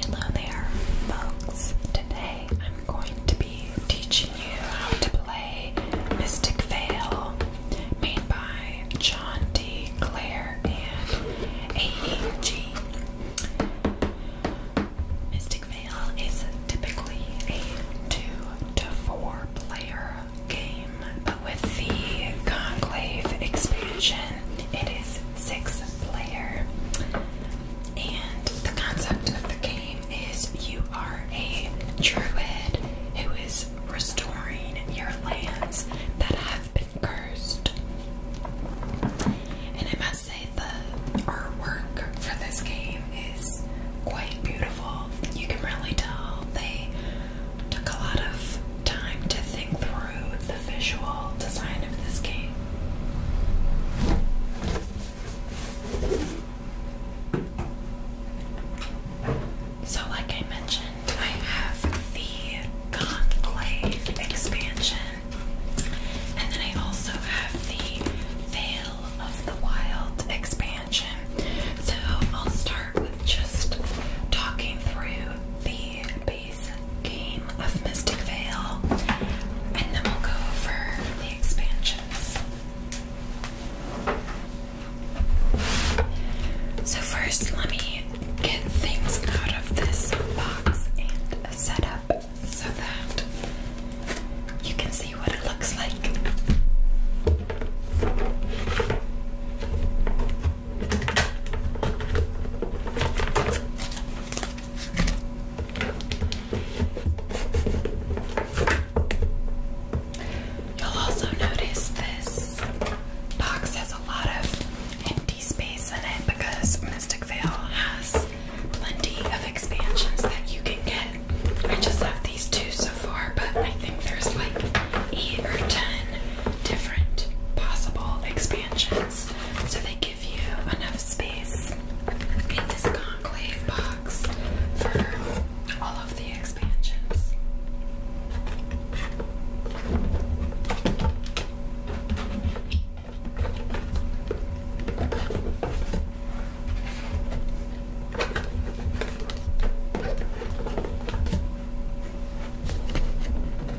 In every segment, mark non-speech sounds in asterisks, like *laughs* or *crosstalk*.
Hello there, folks. Today I'm going to be teaching you how to play Mystic Veil, made by John D. Clare and AEG. Mystic Veil is typically a two to four player game, but with the Conclave expansion, it is six player, and the concept of the game is you are a druid who is restoring your lands that have been cursed. And I must say, the artwork for this game is quite beautiful. You can really tell they took a lot of time to think through the visual design of this game. So, like I mentioned, I have the Conclave expansion, and then I also have the Veil of the Wild expansion. So, I'll start with just talking through the game of Mystic Veil, and then we'll go over the expansions. So, first, let me get things out of this box and set up so that you can see what it looks like. You'll also notice this box has a lot of empty space in it because Mystic Veil has plenty of expansions that you can get. I just have these two so far, but I think there's like eight or ten different possible expansions. So they give you enough space in this conclave box for all of the expansions.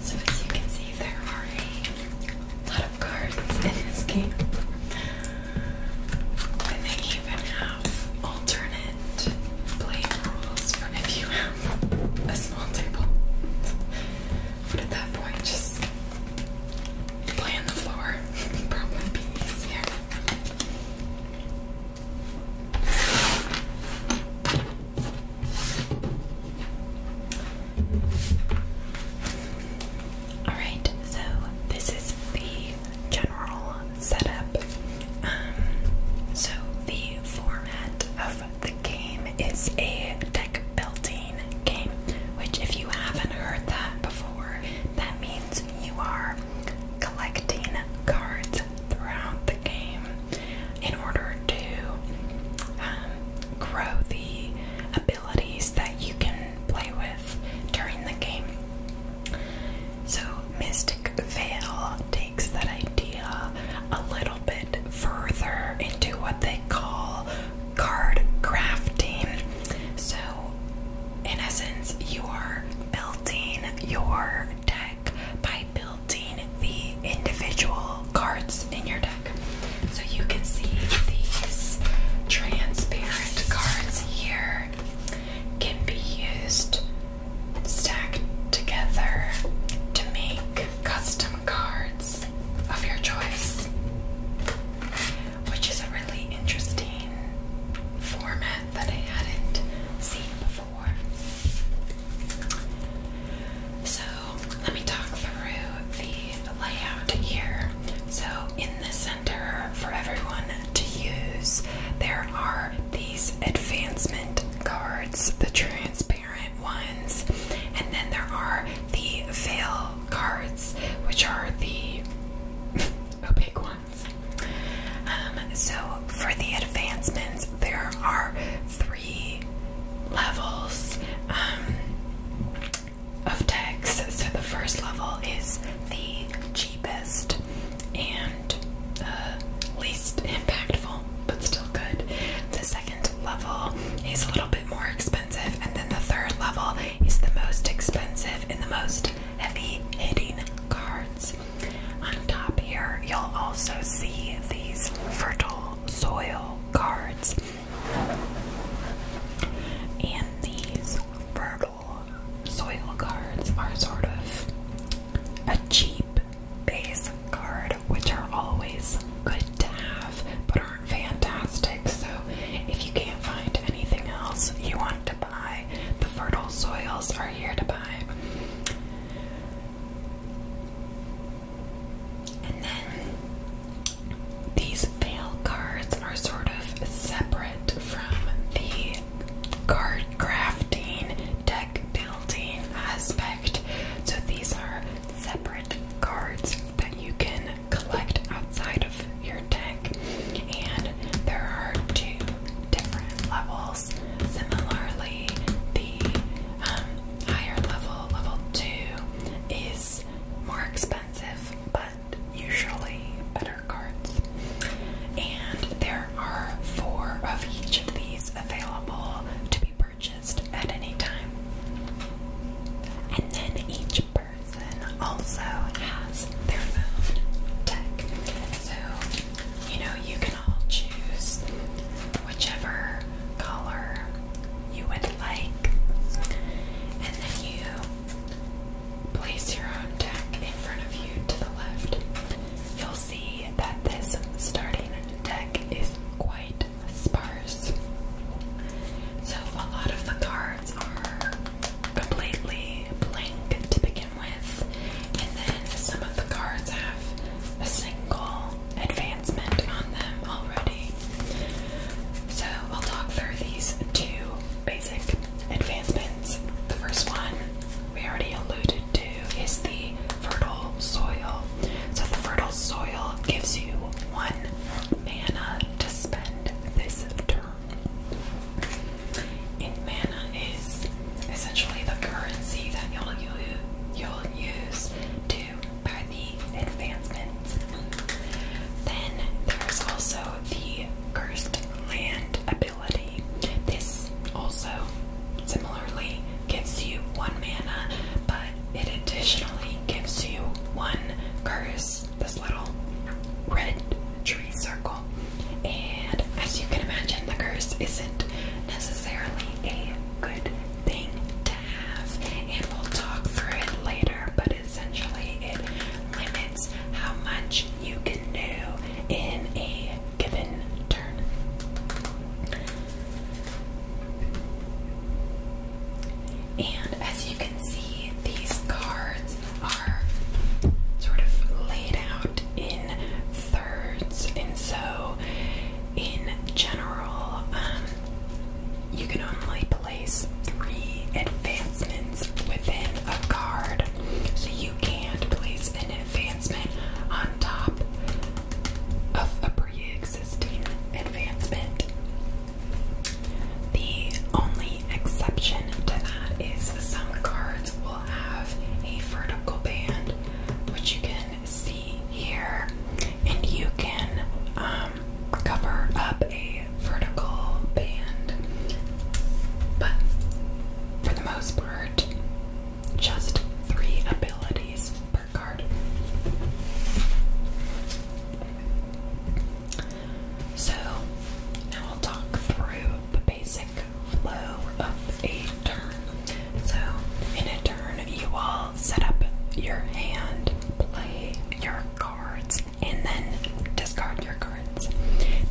So as you can see, there are a lot of cards in this game. And they even have alternate plate rules for if you have a small table. But at that point, just play the floor. *laughs* Probably be easier. Alright, so this is the general setup. Um, so, the format of the game is a deck building game, which, if you haven't heard that before, that means you are collecting cards throughout the game in order to um, grow the abilities that you can play with during the game. So, Mystic Veil takes that idea a little bit further into what they call card crafting. So, in essence, you are building your deck by building the individual cards in your deck. So, you can see these transparent cards here can be used stacked together to make custom cards of your choice, which is a really interesting format that I hadn't seen before. So, let me talk through the layout here. So, in this for everyone to use. There are these advancement cards, the transparent ones, and then there are the veil cards, which are the *laughs* opaque ones. Um, so, for the advancements, there are three levels um, of text. So, the first level is the cheapest and uh, least impactful, but still good. The second level is a little bit more expensive, and then the third level is the most expensive and the most heavy hitting cards. On top here, you'll also see these fertile soil cards. And these fertile soil cards are sort of a cheap base card which are always good to have but aren't fantastic so if you can't find anything else you want to buy the fertile soils are here to buy and then these fail cards are sort of separate from the card crafting, deck building aspect. So these are separate cards that you can collect outside of your deck, and there are two different levels. Similarly, the um, higher level, level two, is more expensive, but and usually better cards. And there are four of each of these available to be purchased at any time. And then each person also has their own deck. So, you know, you can all choose whichever color you would like. And then you Place your own deck in front of you to the left. You'll see that this starting deck is quite sparse. So, a lot of the cards are completely blank to begin with, and then some of the cards have a single advancement on them already. So, I'll talk through these two basic advancements. The first one we already alluded to is the fertile soil. So, the fertile soil gives you one mana to spend this turn. And mana is essentially the currency that you'll, use to buy the advancements. Then there's also the cursed land ability. This also similarly gives you one mana, but it additionally gives you one curse, this little red tree circle. And as you can imagine, the curse isn't necessarily a good thing to have, and we'll talk through it later, but essentially it limits how much you can do in a given turn. And as you can see, these cards are sort of laid out in thirds, and so in general, um, you can only place three advanced within a card. So you can't place an advancement on top of a pre existing advancement. The only exception to that is some cards will have a vertical band, which you can see here, and you can um, cover up a vertical band. But for the most part, just three abilities per card. So, now I'll talk through the basic flow of a turn. So, in a turn, you all set up your hand, play your cards, and then discard your cards.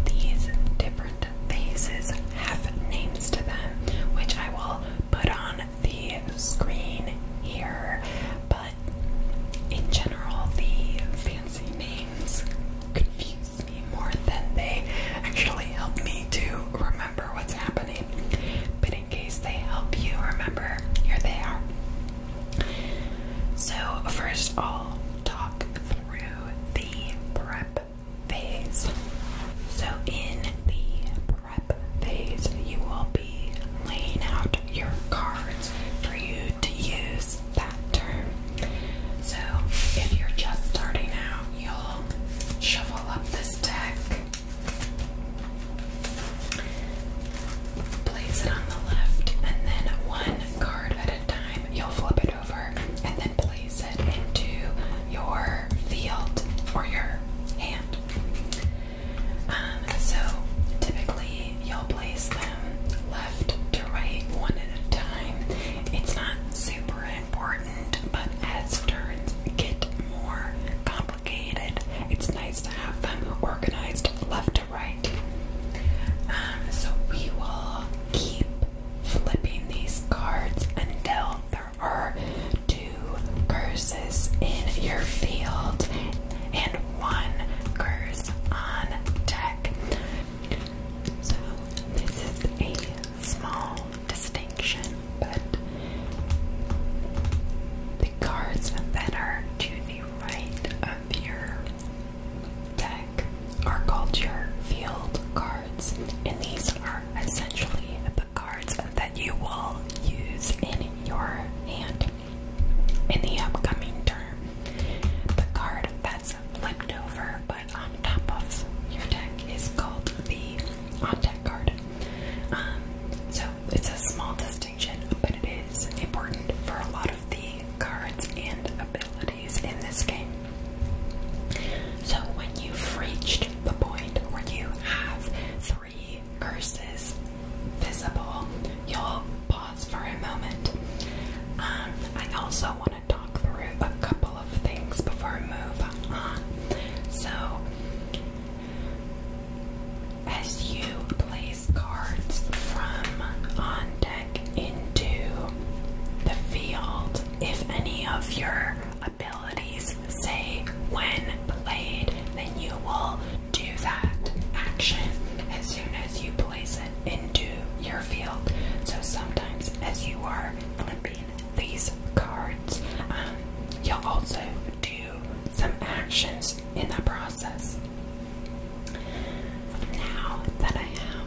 These different faces have names to them, which I will put on the screen here, but in general, the fancy names confuse me more than they actually help me to remember what's happening. But in case they help you remember, here they are. So, first, I'll talk through the prep phase. So, in the prep phase, you will be laying out your cards for you to use that term. So, if you're just starting out, you'll shuffle up this deck, place it on the left, and then one card at a time, you'll flip it over and then place it into your field or your hand. Um, so typically you'll place them left to right one at a time. It's not super important, but as turns get more complicated, it's nice to have them organized left to right. Um, so we will keep flipping these cards until there are two curses in your field and one curse on tech. So, this is a small distinction, but the cards that are to the right of your deck are called your field cards, and these are essentially the cards that you will use in your hand in the upcoming turn. The card that's flipped over but on top of your deck is called the on deck card. Um, so it's a small distinction, but it is important for a lot of the cards and abilities in this game. So when you've reached the point where you have three curses visible, you'll pause for a moment. Um, I also want to talk through a couple of things before we move on. So, as you place cards from on deck, into the field if any of your abilities say when played, then you will do that action as soon as you place it into your field. So sometimes as you are flipping these cards, um, you'll also do some actions in the process. Now that I have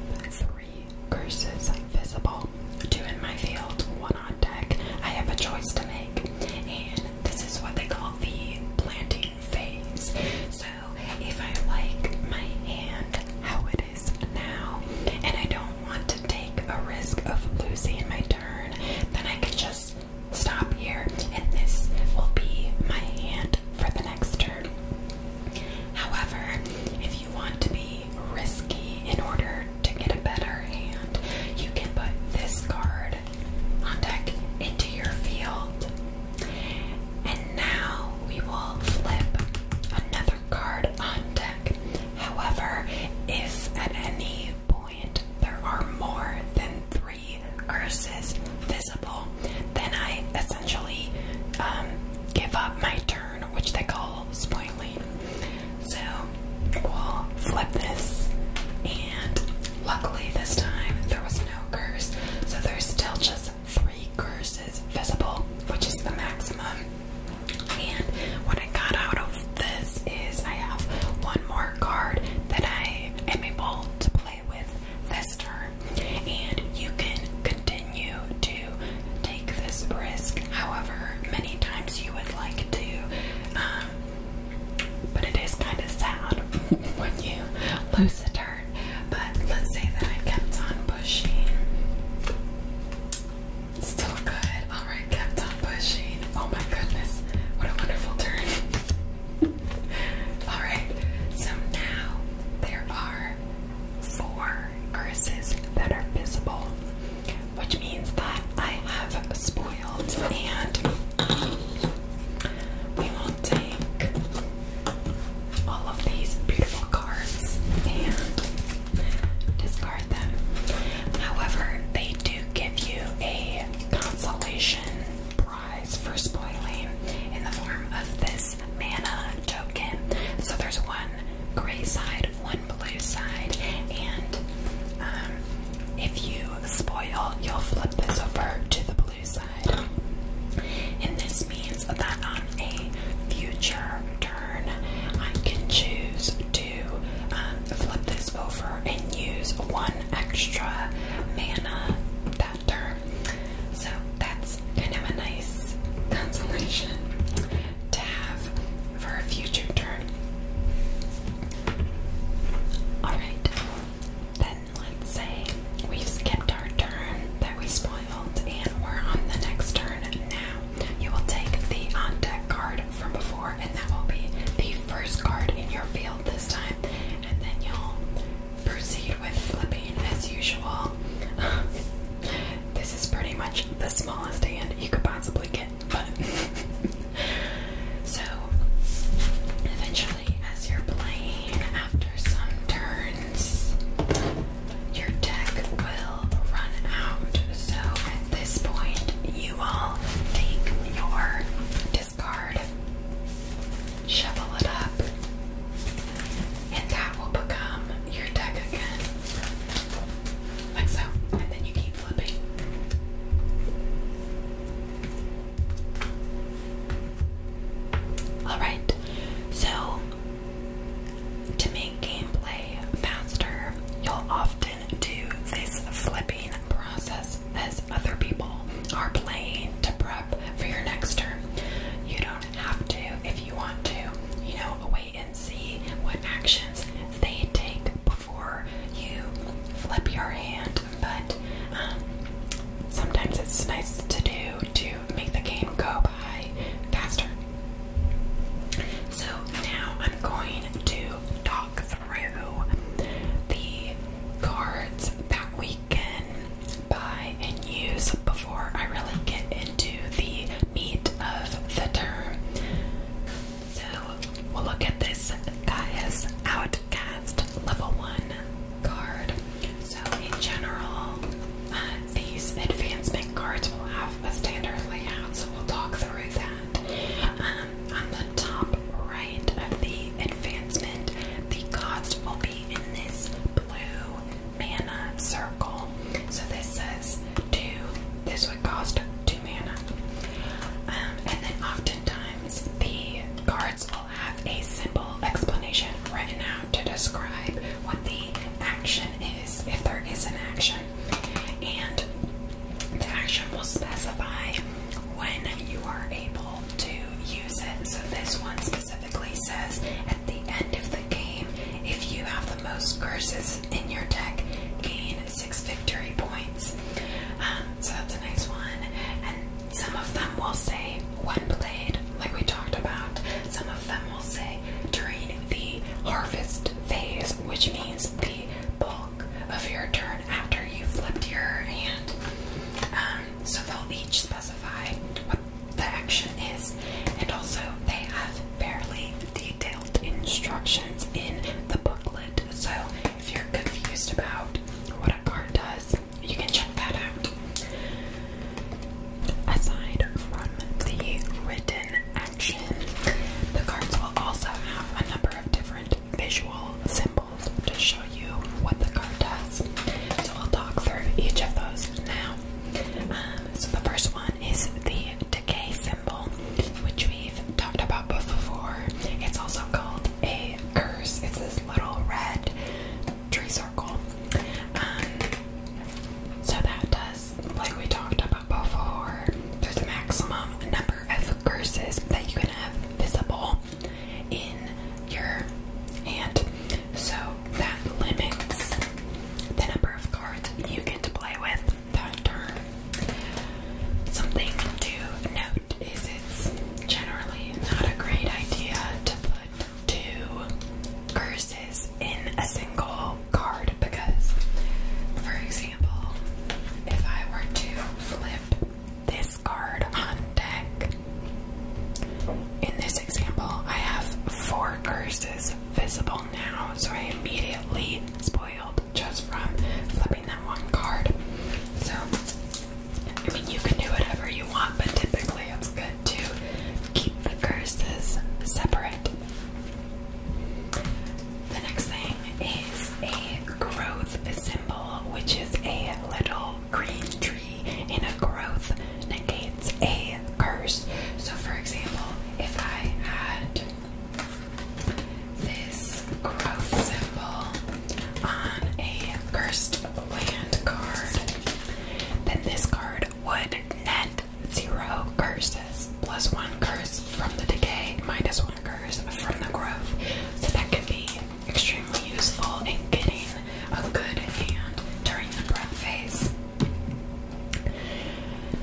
three curses visible, two in my field, one on deck. I have a choice to make, and this is what they call the planting phase. So, if I like my hand how it is now, and I don't want to take a risk of losing my turn, then I can just stop here, and this will be my hand for the next turn. However, if you want to be risky in order to get a better hand, you can put this card on deck into your field. And now we will flip another card on deck. However, if at any point there are more than three curses visible, then I essentially um, give up my turn, which they call spoiling. So we'll flip this, and luckily this time there was no curse, so there's still just three curses visible, which is the maximum. And what I got out of this is I have one more card that I am able to play with this turn and you can continue to take this risk however many times you would like to. Um, but it is kind of sad *laughs* when you lose a turn. But let's say that I kept on pushing. Still good. Alright, kept on pushing. Oh my goodness. What a wonderful turn. *laughs* Alright, so now there are four curses that are visible, which means that I have spoiled, and we will take all of these beautiful cards and discard them. However, they do give you a consolation prize for spoiling in the form of this mana token. So there's one gray side, one blue side, and um, if you spoil, you'll flip this over to the blue side. And this means that on a future turn, I can choose to um, flip this over and use one extra mana that turn so that's kind of a nice consolation to have for a future turn. Alright, then let's say we've skipped our turn that we spoiled and we're on the next turn now. You will take the on deck card from before, and that will be the first card in your field this time, and then you'll proceed with flipping as usual. *laughs* This is pretty much the smallest hand you could possibly get, but *laughs* so eventually, as you're playing, after some turns, your deck will run out. So at this point, you will take your discard, shovel it up, and that will become your deck again. Like so. And then you keep flipping. Alright, so to make gameplay faster, you'll often do this flipping process as other people are playing to prep for your next turn. You don't have to if you want to, you know, wait and see what actions they take before you flip your hand. But um, sometimes it's nice to do to make the game go by faster. So now I'm going to talk through the cards that we can buy and use before I really get into the meat of the term. So we'll look at this Gaia's Outcast Level 1 card. So, in general, uh, these advancement cards will have a standard layout, so we'll talk through that. Um, on the top right of the advancement, the cost will be in this blue mana circle. So this says two. This would cost two mana. Um, and then oftentimes the cards will have a simple explanation written out to describe what the action is, if there is an action. And the action will specify when you are able to use it. So this one specifically says at the end of the game, if you have the most curses in your deck, gain six victory points. Um, so that's a nice one. And some of them will say one blade, like we talked about. Some of them will say during the harvest phase, which means the bulk of your turn after you flipped your hand. Um, so they'll each specify what the action is, and also they have fairly detailed instructions in the booklet. So if you're confused about what a card does, you can check that out. Aside from the written action, the cards will also have a number of different visual symbols to show you what the card does. So i will talk through each of those now. Um, so the first one is the decay symbol, which we've talked about before. It's also called a curse. It's this little red tree circle. Um, so that does, like we talked about before, there's a maximum number of curses that you can have visible in your hand. So that limits the number of cards you get to play with that turn. Something to note is it's generally not a great idea to put two curses in a single card because, for example, if I were to flip this card on deck, in this example, I have four curses visible now, so I immediately spoiled just from flipping that one card. So, I mean, you can do whatever you want, but typically it's good to keep the curses separate. The next thing is a growth symbol, which is a little green tree, in a growth negates a Cursed. So, for example, if I had this growth symbol on a cursed land card, then this card would net zero curses plus one curse from the decay, minus one curse from the growth. So, that could be extremely useful in getting a good hand during the breath phase.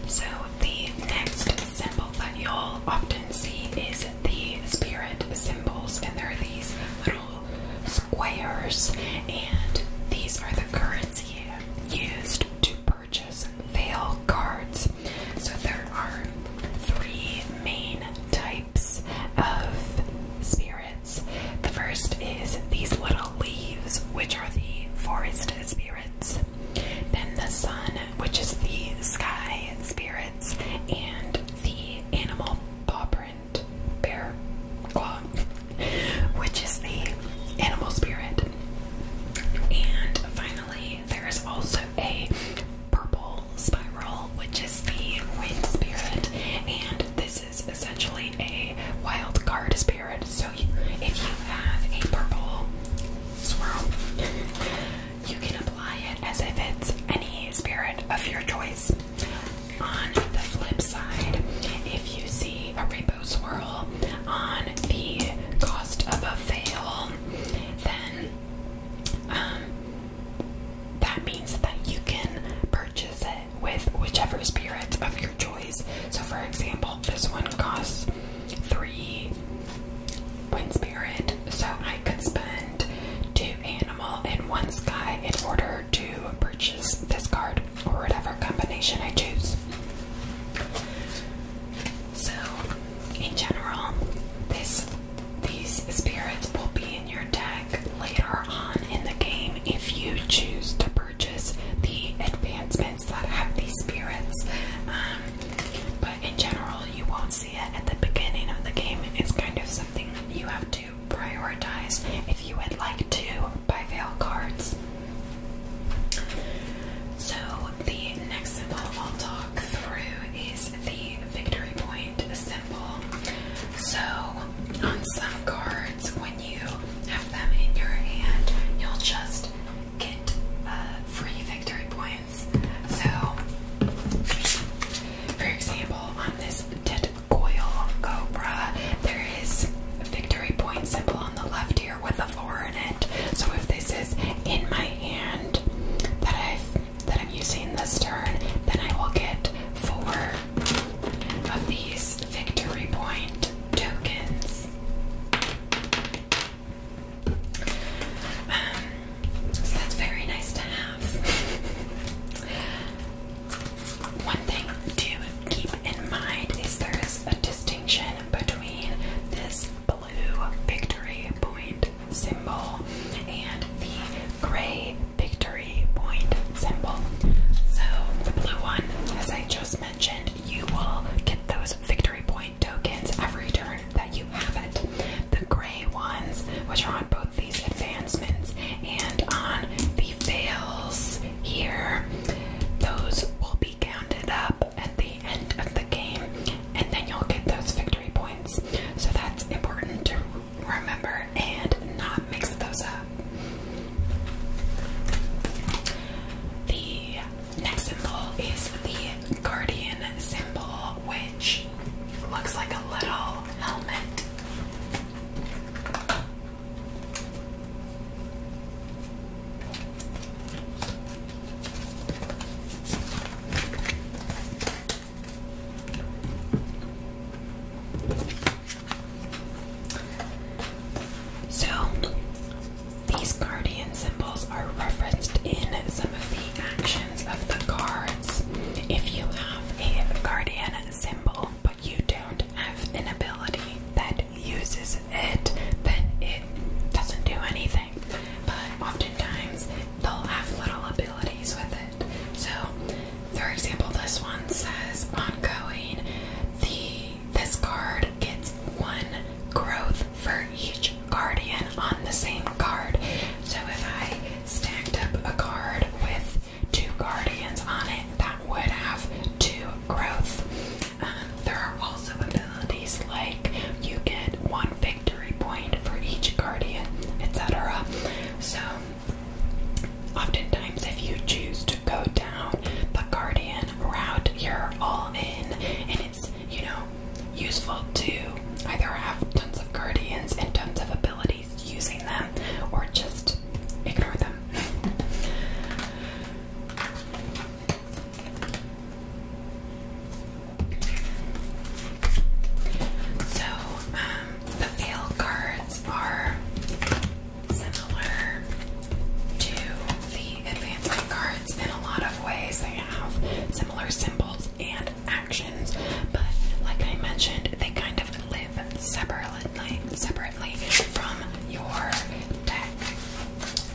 So, the next symbol that you'll often see is the spirit symbols, and there are these little squares, and these are the currency used to purchase veil cards. So, there are three main types of spirits. The first is these little leaves, which are the forest spirits. Then the sun, which is the sky spirits, and the animal paw print bear claw, *laughs* which is the animal spirit. And finally, there is also a purple spiral, which is the wind spirit, and this is essentially a wild card spirit. So if you have a purple swirl, you can apply it as if it's any spirit of your choice. On the flip side, if you see a rainbow swirl on the cost of a fail, then um, that means that you can purchase it with whichever spirit of your choice. So, for example, this one costs three wind spirit, so I could spend two animal and one sky in order to purchase this card or whatever combination I choose. So, in general, this these spirits will be in your deck later on in the game if you choose to purchase the advancements that have these spirits. Um, but in general, you won't see it at the beginning of the game. It's kind of something you have to prioritize if you would like to buy Vale cards. So, the next symbol I'll talk through is the victory point symbol. So, on some cards, when you have them in your hand, you'll just get uh, free victory points. So, for example, on this dead cobra, there is a victory point symbol on the left here with a four in it. So, if this is in my hand that i that I'm using this turn, then I will get four of these victory points tokens. Um, so that's very nice to have. One thing to keep in mind is there is a distinction between this blue victory point symbol and the gray victory point symbol. So the blue one, as I just mentioned, you will get those victory point tokens every turn that you have it. The gray ones, which are on both these advancements and on the fails here, those will be counted up at the end of the game, and then you'll get those victory points. So that's important to remember and not mix those up. The next symbol is the guardian symbol, which looks like a little helmet. So, these guardian symbols are referenced in some of the actions of the cards. If you have a guardian symbol but you don't have an ability that uses it, then it doesn't do anything. But oftentimes they'll have little abilities with it. So, for example, this one says ongoing. The this card gets one growth for each guardian on the same card. So if I stacked up a card with two guardians on it, that would have two growth. Um, there are also abilities like you get one victory point for each guardian, etc. So, oftentimes, if you choose to go down, the guardian route you're all in, and it's, you know, useful to either have tons of guardians and tons of abilities using them, or just ignore them. *laughs* So, um, the fail cards are similar to the advancement cards in a lot of ways. They have similar symbols and actions, but like I mentioned, they kind of live separately from your deck.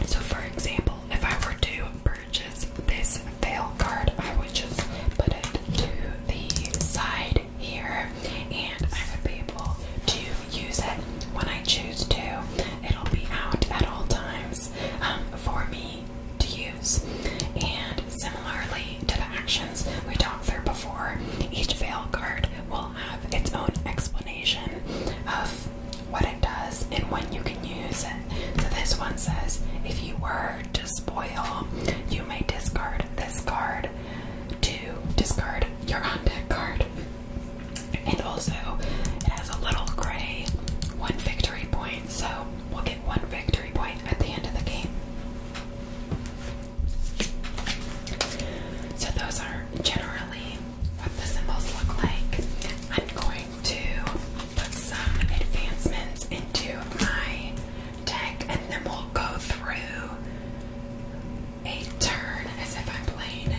So for example, if I were to purchase this fail card, I would just put it to the side here and I would be able to use it when I choose to. It'll be out at all times um, for me to use. And similarly to the actions we talked through before, each veil card will have its own explanation of what it does and when you can use it. So this one says, if you were to spoil, you may discard this card to discard your on deck card. And also, it has a little gray one victory point, so we'll get one victory point at the end of the game. So, those are generally what the symbols look like. I'm going to put some advancements into my deck and then we'll go through a turn as if I'm playing it.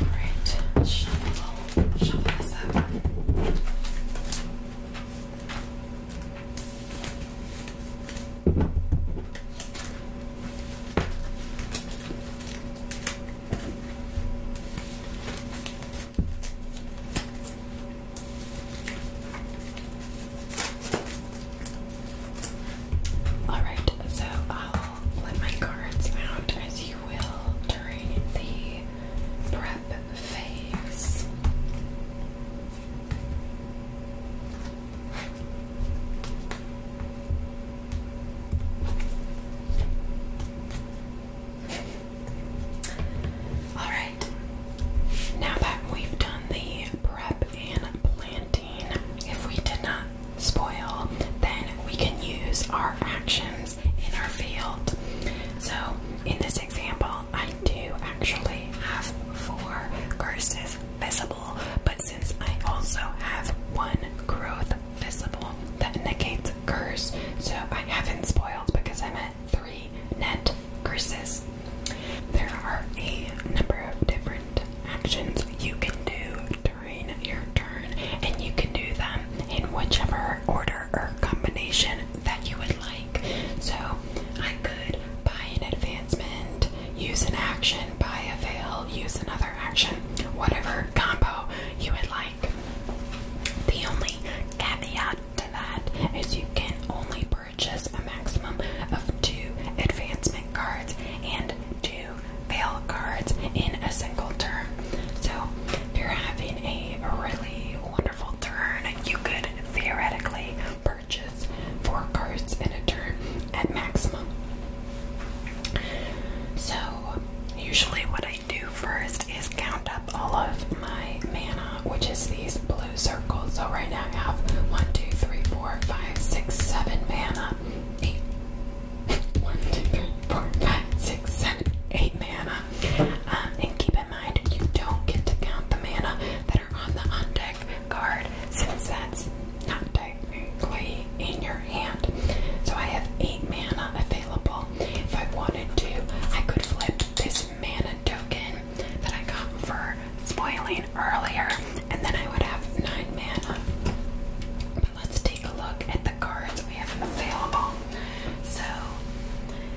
Alright, shuffle, shuffle this up. Alright, so I'll flip my cards out as you will during the prep phase. All right, now that we've done the prep and planting, if we did not spoil, then we can use our actions in our field. So, in this example, I do actually have four curses visible, but since I also have one growth visible that negates curse, so I haven't spoiled because I'm at three net curses. There are a number of different actions you can do during your turn, and you can do them in whichever order or combination that you would like. So I could buy an advancement, use an action, buy a veil, use another action, whatever combo you would like. The only caveat to that is you can only purchase purchase a maximum of two advancement cards and two fail cards in a single turn. So, you're having a really wonderful turn, you could theoretically purchase four cards in a turn at maximum. So, usually what I do first is count up all of my mana which is these blue circles. So right now I have one, two, three, four, five, six, seven mana. Eight. *laughs* One, two, three, four, five, six, seven, eight mana. Um, and keep in mind you don't get to count the mana that are on the undecked card since that's not technically in your hand. So I have eight mana available. If I wanted to, I could flip this mana token that I got for spoiling earlier, and then I would have nine mana. But let's take a look at the cards we have available. So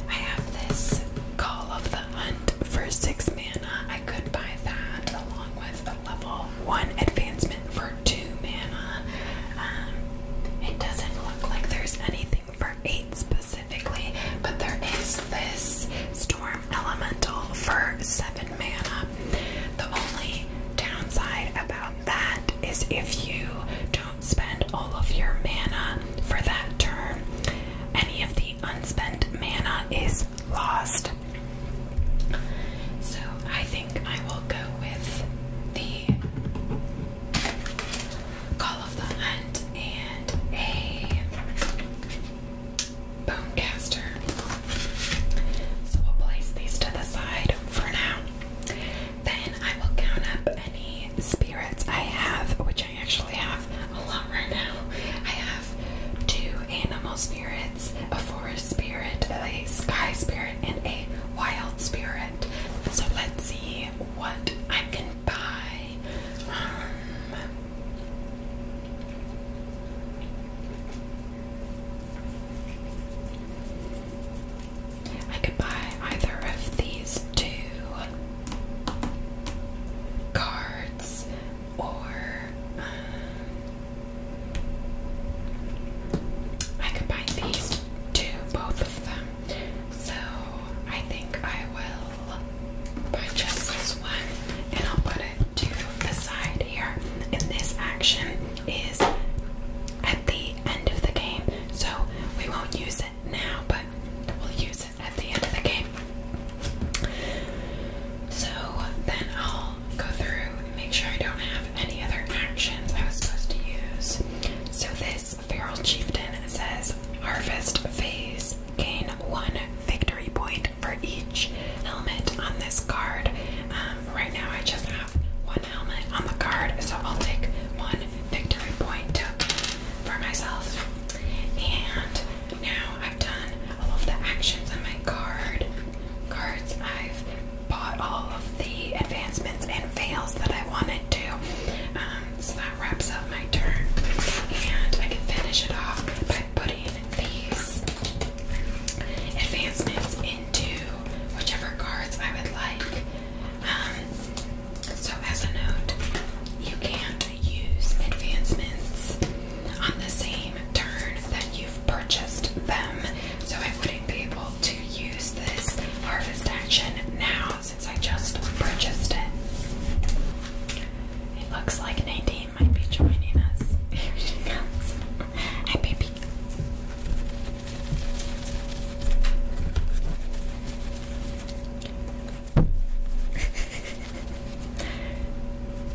I have this Call of the Hunt for six mana. I could buy that along with the level one advancement for two mana. Um, it doesn't look like there's anything for eight specifically, but there is this. Storm Elemental for 7 mana. The only downside about that is if you don't spend all of your mana for that turn, any of the unspent mana is lost. So I think I will go with the Call of the Hunt and a Bonecaster. So we'll place these to the side for now. Then I will count up any spirits I have, which I actually have a lot right now. I have two animal spirits, a forest spirit, a sky spirit, and a wild spirit. So let's see what I can buy. Um, I could buy either of these two cards or um, I could buy these two, both of them. So I think I will purchase this one and I'll put it to the side here. And this action is at the end of the game, so we won't use it now, but we'll use it at the end of the game. So then I'll go through and make sure I don't have any other actions I was supposed to use. So this feral chieftain says harvest phase gain one victory point for each helmet on this card. Um, right now, I just have one helmet on the card, so I'll take one victory point for myself. And now I've done all of the actions on my card cards. I've bought all of the advancements and fails that I wanted to. Um, so that wraps up my turn, and I can finish it off by putting these advancements into whichever cards I would like. Um, so, as a note, you can't use advancements on the same turn that you've purchased them. So, I wouldn't be able to use this harvest action now since I just purchased it. It looks like Nadine might be joining us. Here she comes. Hi, baby.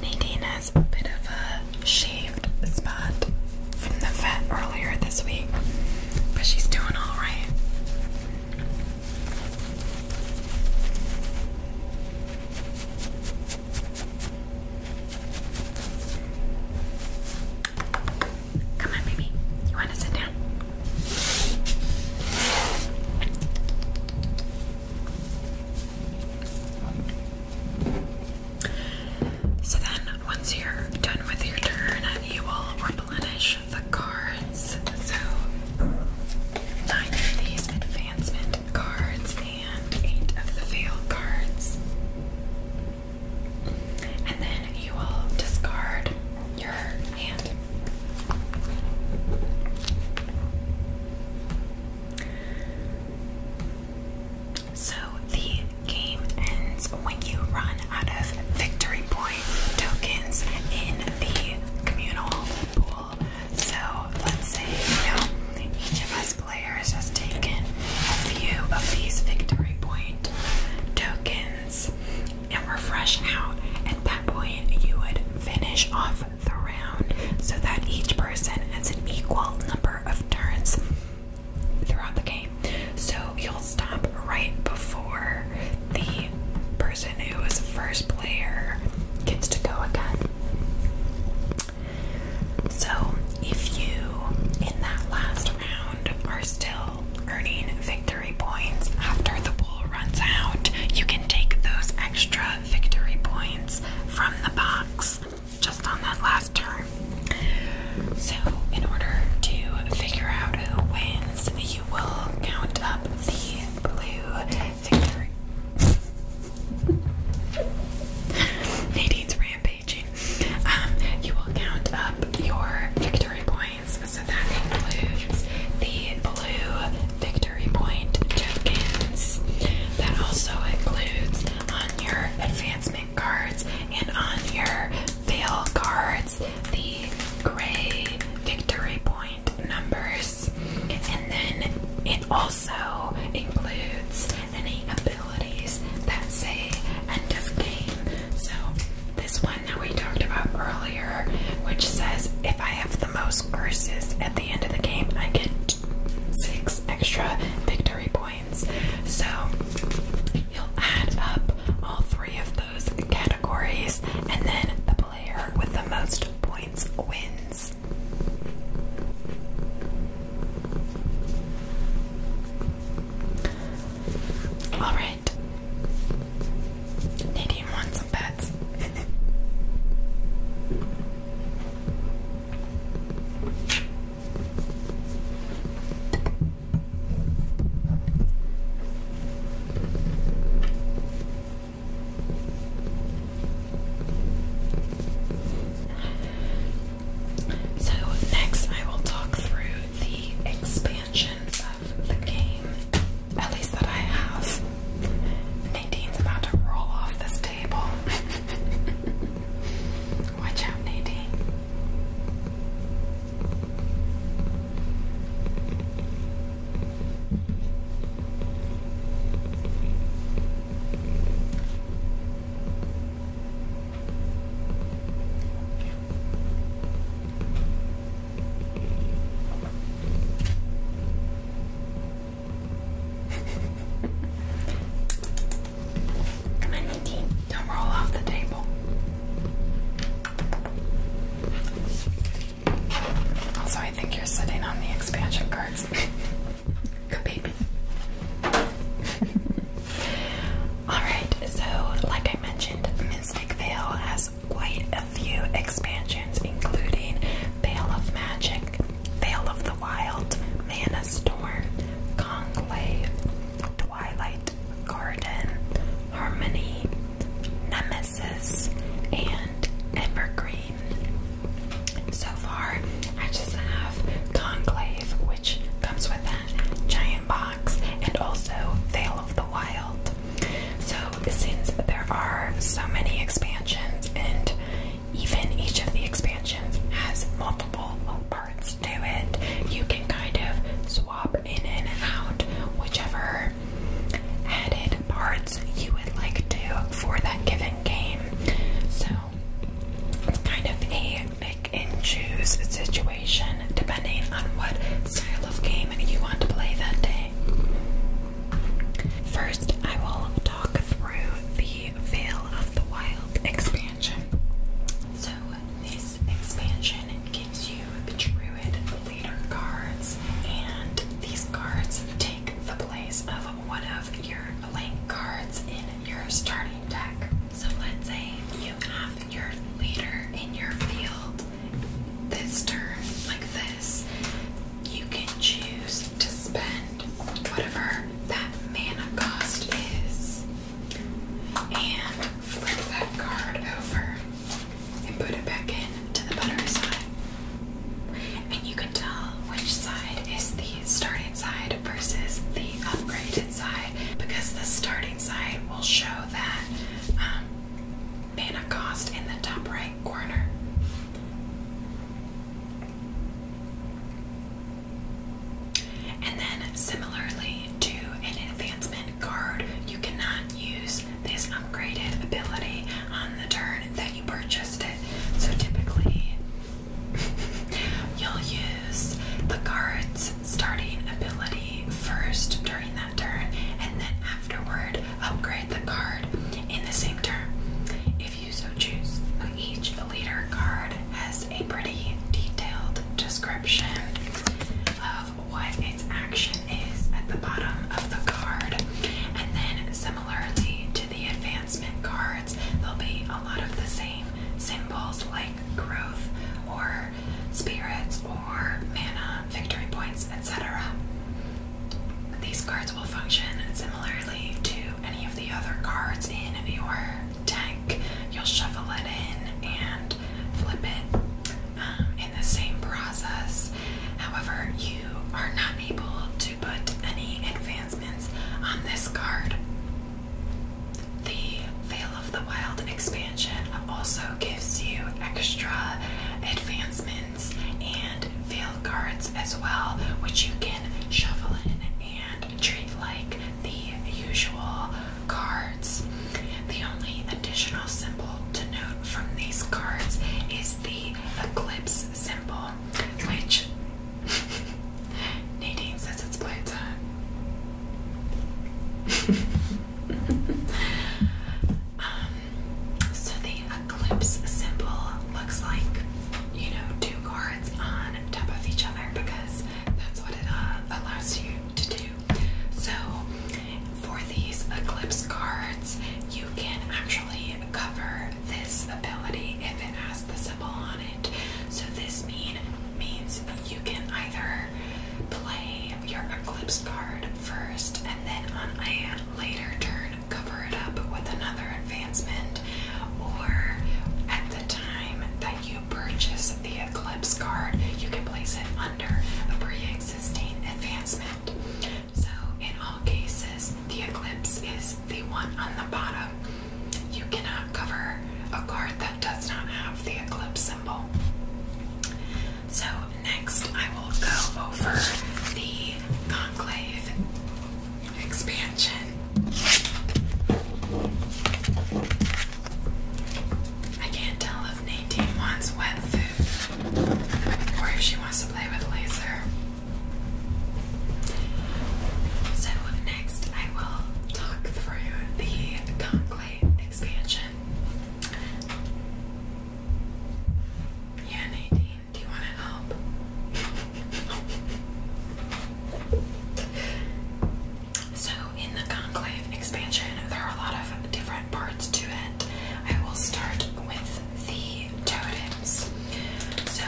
Nadine has a bit of a shaved spot from the vet earlier this week, but she's doing all right. Come on, baby. You want to sit down? So then, once you're done with your turn, you will replenish the cards. So, neither of these advancement cards and eight of the fail cards. And then you will discard your hand. So the game ends when you run out of victory point tokens in the communal pool. So let's say, you know, each of us players has taken a few of these victory point tokens and we're fresh out. At that point, you would finish off the round so that each person has an equal number of turns throughout the game. So you'll stop right before the and who was first player gets to go again. So, if you in that last round are still earning victory points after the pool runs out, you can take those extra victory points from the box just on that last turn. So, in order to figure out who wins, you will count up the blue *laughs* Nadine's rampaging. Um, you will count up your victory points, so that includes the blue victory point tokens. That also includes on your advancement cards and on your fail cards the gray victory points numbers, and then it also includes any abilities that say end of game. So, this one that we talked about earlier, which says if I have the most curses at the end of the game, I get six extra victory points. So, you'll add up all three of those categories, and then the player with the most points wins. All right. Nadine wants some pets. So, next I will talk through the expansions of the game, at least that I have. Nadine's about to roll off this table. *laughs* Watch out, Nadine. Come on, Nadine. Don't roll off the table. Also, I think you're sitting on the expansion cards. *laughs* Good baby. *laughs* Alright, so like I mentioned, Mystic Veil has quite a few expansions, including Veil of Magic, Veil of the Wild, Mana Storm, Conclave, Twilight Garden, Harmony, Nemesis, and and evergreen. So far, I just have Conclave, which comes with a giant box, and also Veil of the Wild. So, since there are so many expansions, and even each of the expansions has multiple parts to it, you can kind of swap in and out whichever added parts you would like to for that given game. So it's kind of a make and choose situation depending on what style of game you want to play that day. First, I will talk through the Veil of the Wild expansion. So, this expansion gives you the Druid Leader cards, and these cards take the place of one of your blank cards in your starting deck. So let's say you have your leader in your field this turn, like this. You can choose to spend whatever that mana cost is and flip that card over and put it back in to the butter side. And you can tell which side is the starting side versus the upgraded side because the starting side will show that um, mana cost in the top right corner. And then, similarly to an advancement card, you cannot use this upgraded ability on the turn that you purchased it. So typically, *laughs* you'll use the card's starting ability first during that turn, and then afterward, upgrade the card in the same turn. If you so choose, each leader card has a pretty detailed description of what its action is at the bottom of the card, and then similarly to the advanced advancement cards, there'll be a lot of the same symbols like growth or spirits or mana, victory points, etc. These cards will function similarly to any of the other cards in your deck. You'll shuffle it in and flip it um, in the same process. However, you are not able to put any advancements on this card. The Veil of the Wild expansion also gives you extra advancements and veil cards as well, which you can shuffle in and treat like the usual cards. The only additional symbol to note from these cards is the eclipse symbol well, Leech. Nadine says it's playtime. *laughs* Um, so the eclipse symbol looks like, you know, two cards on top of each other because that's what it uh, allows you to do. So for these eclipse cards, you can actually cover this ability if it has the symbol on it. So this mean means you can either play your Eclipse card first and then on a later turn cover it up with another advancement, or at the time that you purchase the Eclipse card, you can place it under a pre-existing advancement. So in all cases, the eclipse is the one on the bottom. You cannot cover a card that does not have the eclipse symbol. So next I will go over the conclave expansion. I can't tell if Nadine wants wet food or if she wants to play with laser. So, next I will talk through the conclave expansion. Yeah, Nadine, do you want to help? so, in the conclave expansion, there are a lot of different parts to it. I will start with the totems. So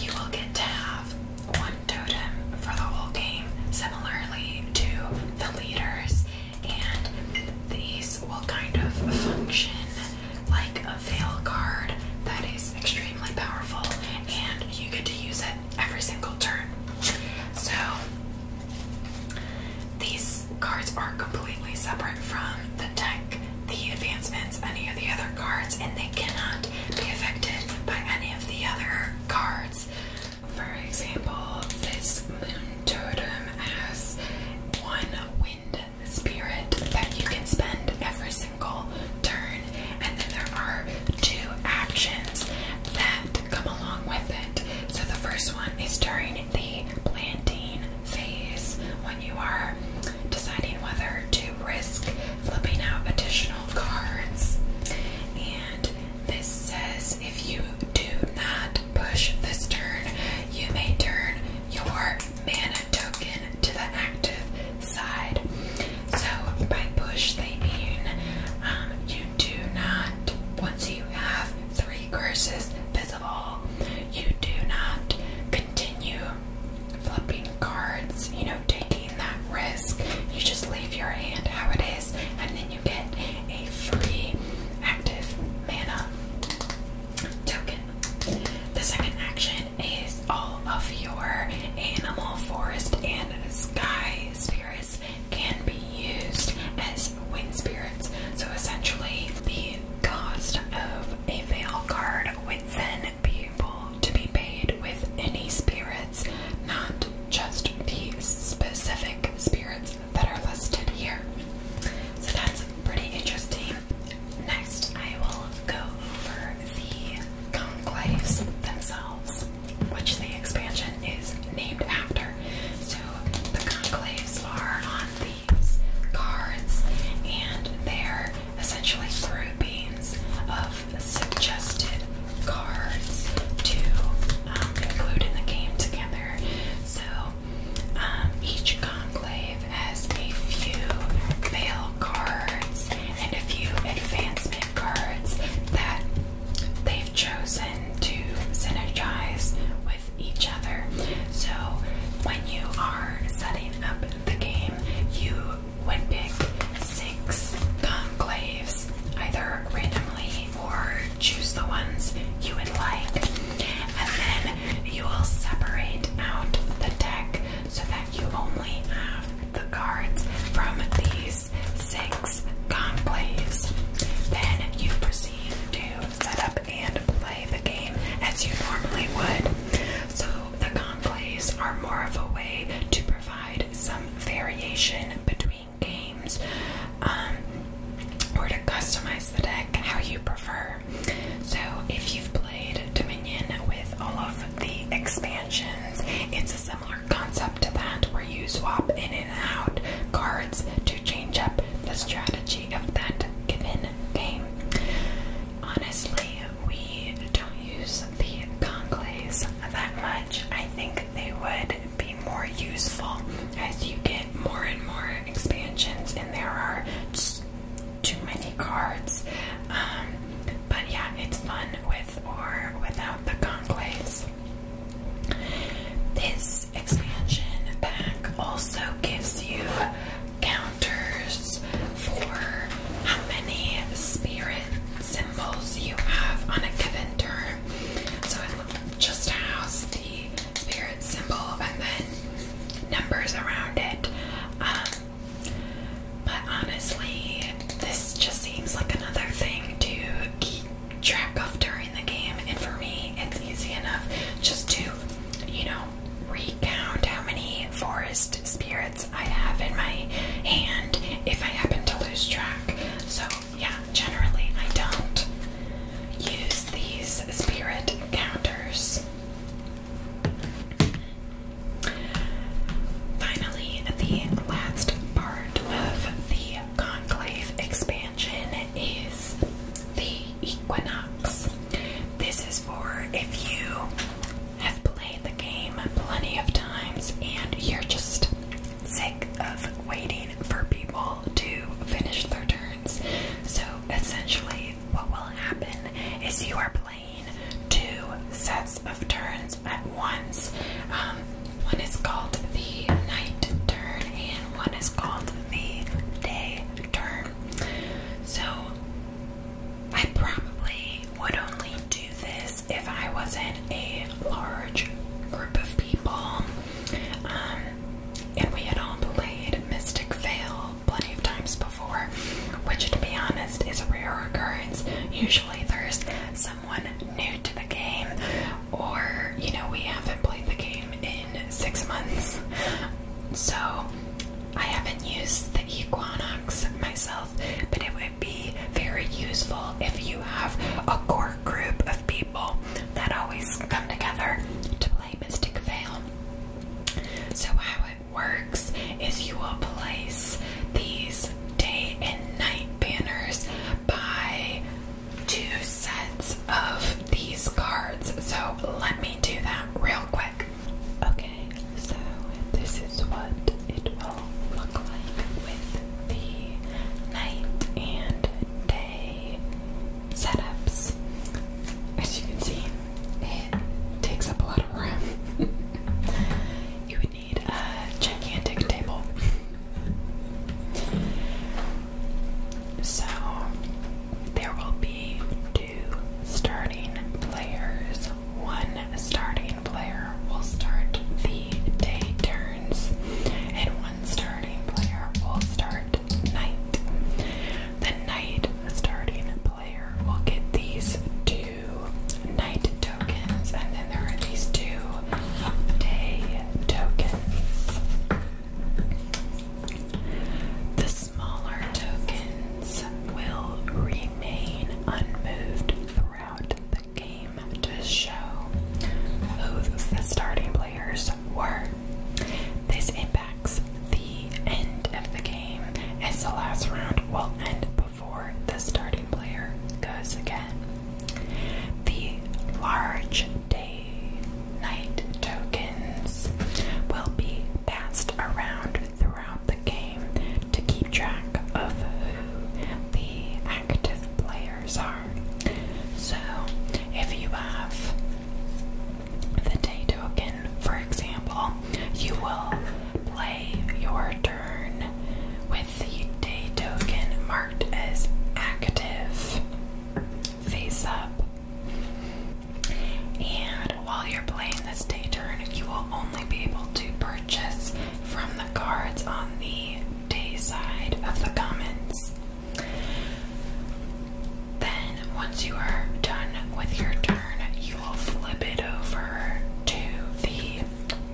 you will get to have one totem for the whole game, similarly to the leaders, and these will kind of function like a veil card that is extremely powerful, and you get to use it every single turn. So these cards are completely separate from the deck the advancements, any of the other cards, and they cannot be affected by any of the other cards. For example, this moon totem has one wind spirit that you can spend every single turn, and then there are two actions that come along with it. So the first one is during the planting phase when you are deciding whether to risk flipping out additional cards. And this says if you do not push this turn, you may turn your mana token to the active side. So by push, they mean um, you do not, once you have three curses visible, you do not continue flipping cards, you know, taking that risk. You just leave your hand how it is, and then you get a free active mana token. The second action is all of your animal, forest, and sky spirits can be used as wind spirits. So essentially, the cost of a veil card with then able to be paid with any spirits, not just the specific spirits that are listed here. So that's pretty interesting. Next, I will go over the conclaves themselves, which the expansion is named after. So the conclaves are on the cards, and they're essentially through beans of suggested cards to um, include in the game together. So um, each conclave has a few fail cards and a few advancement cards that they've chosen to synergize with each other. So when you are setting up the game, you would pick six conclaves, either randomly or choose the ones you would like. And then you will separate out the deck so that you only have the cards from these six conclaves. Then you proceed to set up and play the game as you normally would. So the conclaves are more of a way to provide some variation between games um, or to customize the deck how you prefer. So, if you've played Dominion with all of the expansions, it's a similar concept to that where you swap in and out cards to change up the strategy of that given game. Honestly, we don't use the conclaves that much. I think they would be more useful as you get more and more expansions, and there are just too many cards. Um, but yeah, it's fun with or without the conclaves. This expansion pack also gives you counters for how many spirit symbols you have on a given turn. So it just has the spirit symbol and then numbers around it. Um, but honestly, this just seems like another thing to keep track of during the game, and for me, it's easy enough just to, you know, recount how many forest spirits I have in my hand if I happen to lose track. So, yeah, generally I don't use these spirit counters. Finally, the last part of the Conclave expansion is the equinox. This is for if you have played the game plenty of times and you're just sick of waiting for people to finish their turns. So essentially, what will happen is you are playing two sets of turns at once. Um, one is called the night turn, and one is called the day turn. So I probably would only do this if I wasn't a large group of people. Um, and we had all played Mystic Veil plenty of times before, which, to be honest, is a rare occurrence. Usually there's someone new to the game, or, you know, we haven't played the game in six months. So I haven't used the Equinox myself, but it would be very useful if you have a core group of people that always come together to play Mystic Veil. So, how it works is you will place these day and night banners by two sets of these cards. So, let me do that real quick. Okay, so this is what it will look like with the night and day setups. As you can see, it takes up a lot of room. *laughs* you would need a gigantic table. So, there will be two two starting players. One starting player will start the day turns, and one starting player will start night. The night starting player will get these two night tokens, and then there are these two day tokens smaller tokens will remain unmoved throughout the game to show who the starting players were. This impacts the end of the game as the last round will end before the starting player goes again. The large day night tokens will be passed around throughout the game to keep track of who the active players are. So, if you have the day token, for example, you will play your turn with the day token marked as active face up. And while you're playing this day turn, you will only be able to purchase from the cards on the day side of the commons. Then, once you are done with your turn, you will flip it over to the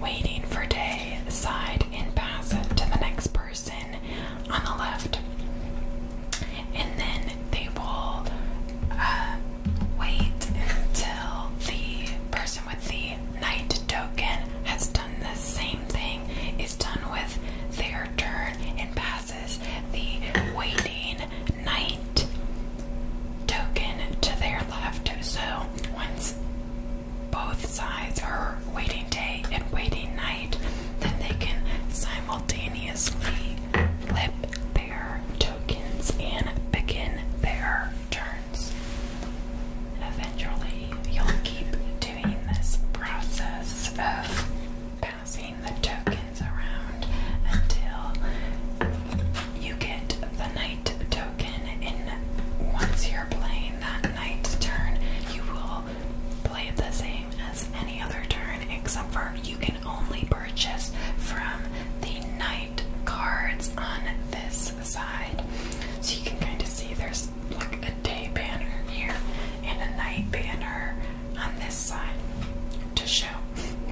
waiting for day side and pass it to the next person on the left. And then they will uh, wait until the person with the night token has done the same thing, is done with their turn, and passes the waiting night token to their left. So once both sides are waiting day and waiting night, then they can simultaneously flip their tokens and begin their turns. Eventually, you'll keep doing this process of passing the tokens around until you get the knight token. And once you're playing that knight turn, you will play the same as any other turn, except for you can only purchase from the night cards on this side. So you can kind of see there's like a day banner here and a night banner on this side to show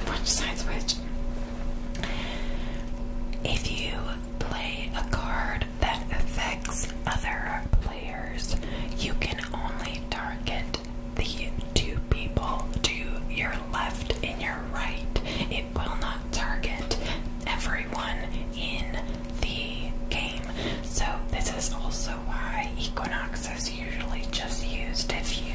which side's which. If you play a card that affects other players, you can only target the two people to your left and your right. It will not target everyone in the game. So, this is also why Equinox is usually just used if you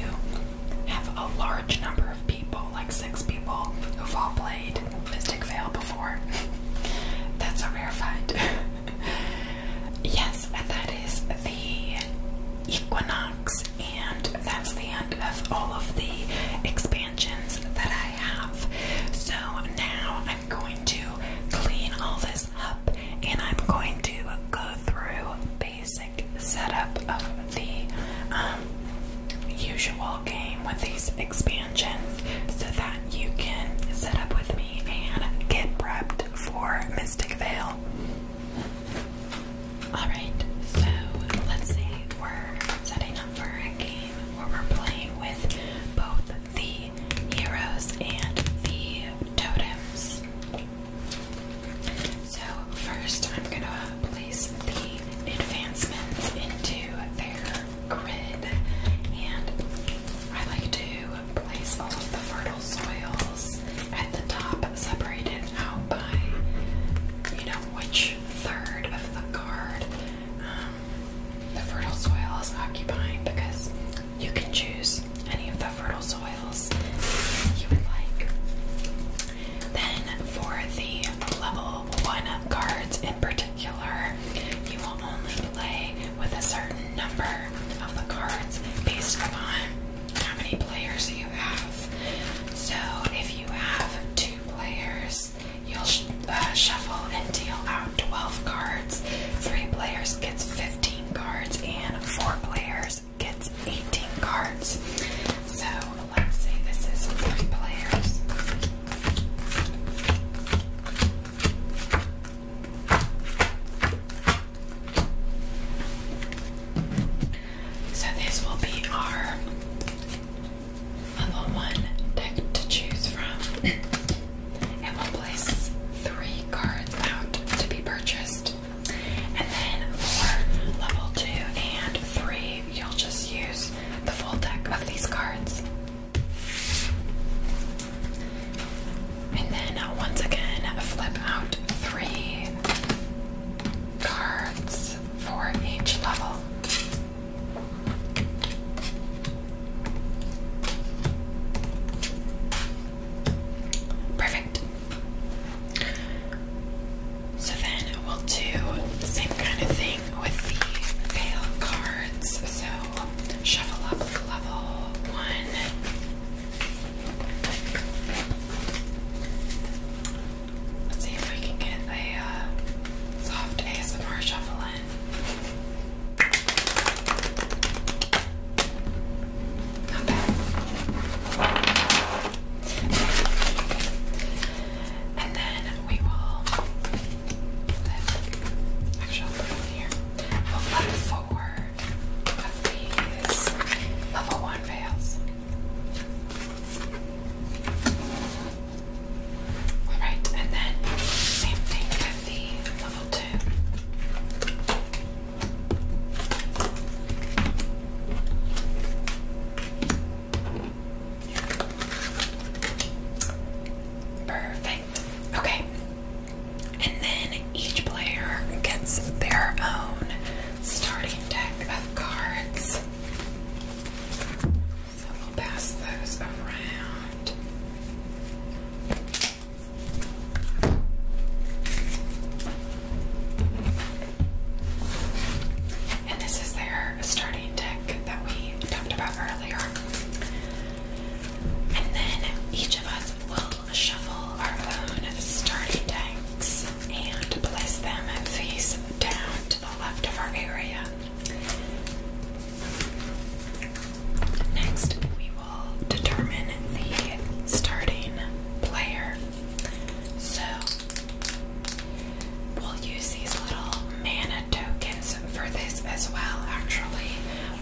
have a large number of people, like six people, who've all played Mystic Veil before. *laughs* That's a rare find. *laughs* yes, that is the Equinox, and that's the end of all of the expansions that I have. So now I'm going to clean all this up and I'm going to go through basic setup of the um, usual game with these expansions so that you can set up with me and get prepped for Mystic Veil. Alright, so let's say we're setting up for a game where we're playing with both the heroes and the totems. So, first I'm gonna place the advancements into their grid, and I like to place all of the fertile natural soils at the top, separated out by you know which third of the card um, the fertile soil is occupying because you can choose any of the fertile soils you would like. Then, for the level 1 cards in particular, you will only play with a certain number of the cards based upon how many players you have. So if you have two players, you'll uh, shuffle and deal out 12 cards. Three players gets 15 cards, and four players gets 18 cards. So let's say this is three players. So this will be our level one deck to choose from. *coughs* It will place three cards out to be purchased. And then for level two and three, you'll just use the full deck of these cards. And then uh, once again, flip out three cards for each level. Perfect. So then we'll do same kind of thing with the fail cards. So shuffle up level one, Let's see if we can get a uh, soft ASMR shuffle in. Not bad. And then we will flip. Actually, here. We'll level one veils. All right, and then same thing with the level two. Perfect. Okay. And then each player gets their own starting deck cards. So we'll pass those around. And this is their starting deck that we talked about earlier. And then each of us will shuffle our own starting deck and place them face down to the left of our area. Next, we will determine the starting player. So, we'll use these little mana tokens for this as well. Actually,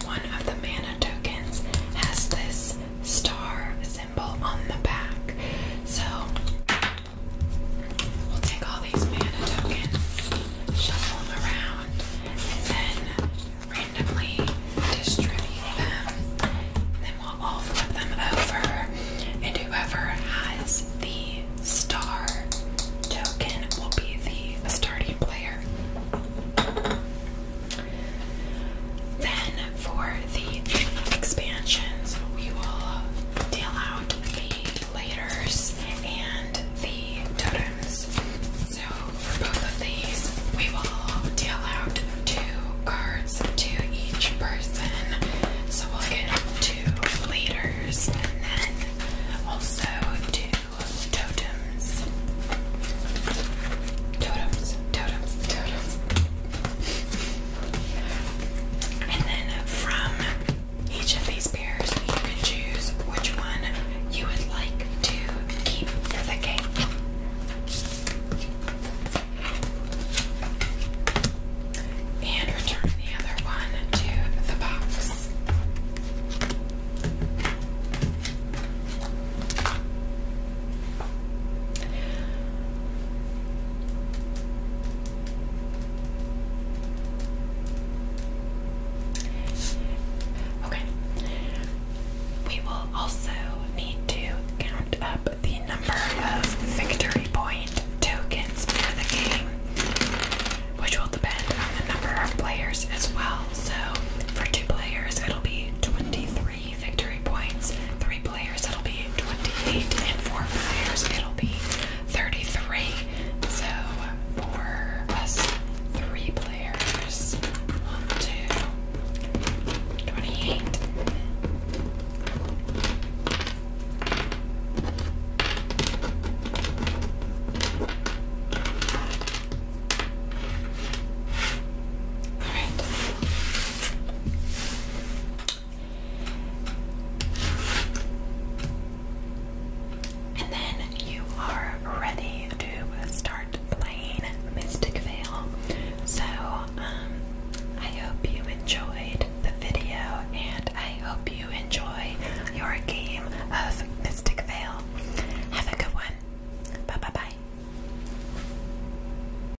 one of the mana tokens has this star on the back. So we'll take all these mana tokens, shuffle them around, and then randomly distribute them. then we'll all flip them over, and whoever has the star token will be the starting player. Then for the expansions, we will deal out the laters and the totems. So for both of these, we will deal out two cards to each person. So we'll get two laters and then also two totems. Totems, totems, totems. And then from each of these pairs, you can choose which one you would like to keep for the cake. And return the other one to the box. Okay. We will also need to count up the number of victory point tokens for the game, which will depend on the number of players as well. So, for two players, it'll be 23 three victory points, three players, it'll be 28, and four players, it'll be 33. So for us, three players, one, two, All right. And then you are ready to start playing Mystic Veil. So, um, I hope you enjoyed the video and I hope you enjoy your game of Mystic Veil. Have a good one. Bye bye bye.